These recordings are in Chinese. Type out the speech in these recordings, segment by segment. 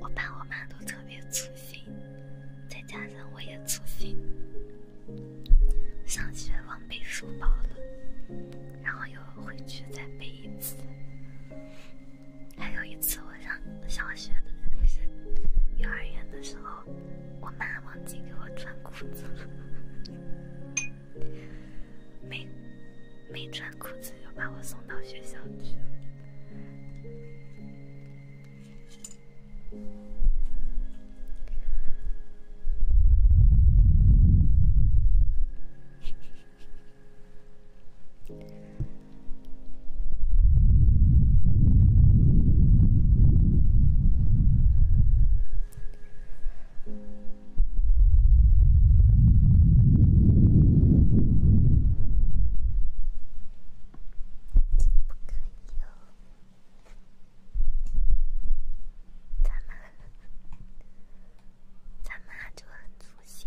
我爸我妈都特别粗心，再加上我也粗心，上学忘背书包了，然后又回去再背一次。还有一次，我上小学的时候，幼儿园的时候，我妈忘记给我穿裤子，了，没没穿。裤子又把我送到学校去了。不可以哦，咱妈，咱妈就很粗心。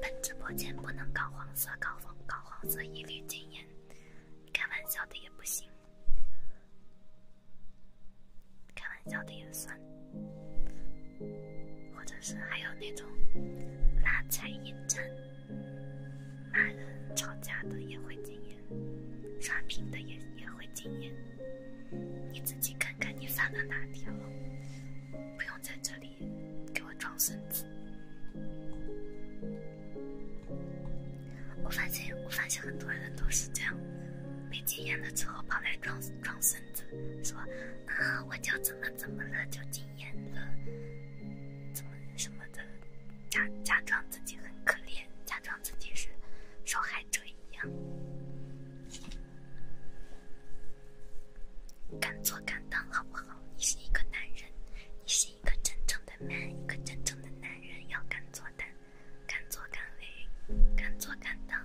本直播间不能搞黄色，搞黄搞黄色一律禁言，开玩笑的也不行，开玩笑的也算，或者是还有那种拉踩、引战、骂人、吵架的也会禁言。刷屏的也也会禁言，你自己看看你犯了哪条，不用在这里给我装孙子。我发现，我发现很多人都是这样，没禁言了之后，跑来装装孙子，说啊，我就怎么怎么了，就禁言了，怎么什么的，假假装自己很可怜，假装。自己是受害者一样，敢做敢当，好不好？你是一个男人，你是一个真正的 man，一个真正的男人要敢做敢，敢做敢为，敢做敢当。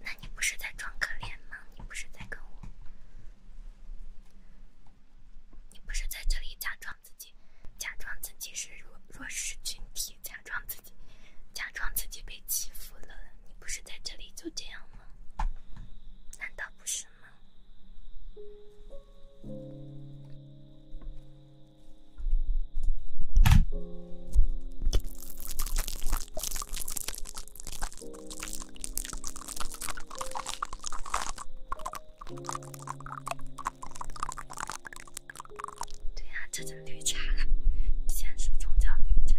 那你不是在装可怜吗？你不是在跟我？你不是在这里假装自己，假装自己是弱弱势群体，假装自己，假装自己被欺负了？你不是在这里就这样吗？难道不是吗？对啊，这种绿茶，先是冲泡绿茶。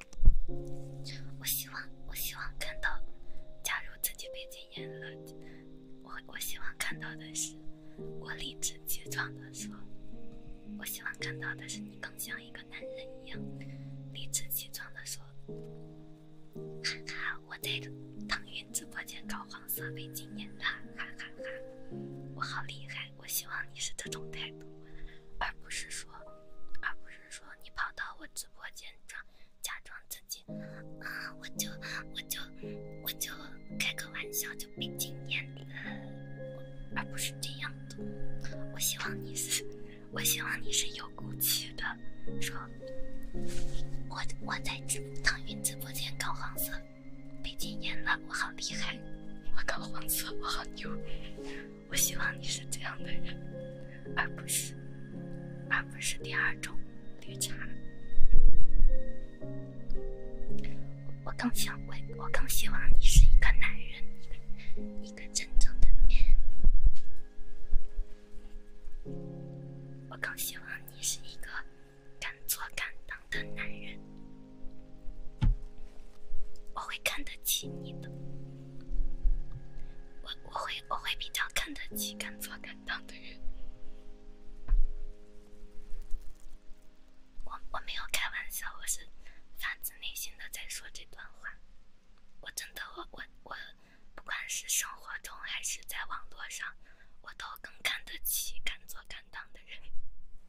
我希望，我希望看到，假如自己被禁言了，我我希望看到的是，我理直气壮的说，我希望看到的是你更像一个男人一样，理直气壮的说，哈哈，我在腾讯直播间搞黄色被禁言了，哈哈哈，我好厉害。我希望你是这种态度，而不是说，而不是说你跑到我直播间装，假装自己，啊，我就我就我就开个玩笑就被禁言了，而不是这样的。我希望你是，我希望你是有骨气的，说，我我在腾云直播间搞黄色，被禁言了，我好厉害，我搞黄色，我好牛。我希望你是这样的人，而不是，而不是第二种绿茶。我更想为，我更希望你是一个男人，一个真正的男。我更希望你是一个敢做敢当的男人。我会看得起你的，我我会我会比较看得起敢做敢当的人。我我没有开玩笑，我是发自内心的在说这段话。我真的我我我，不管是生活中还是在网络上，我都更看得起敢做敢当的人。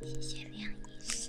谢谢梁医师。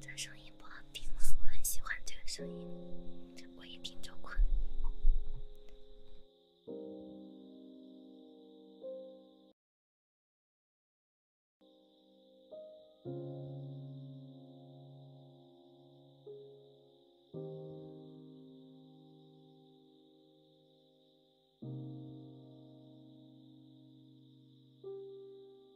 这声音不好听吗？我很喜欢这个声音，我一听就困。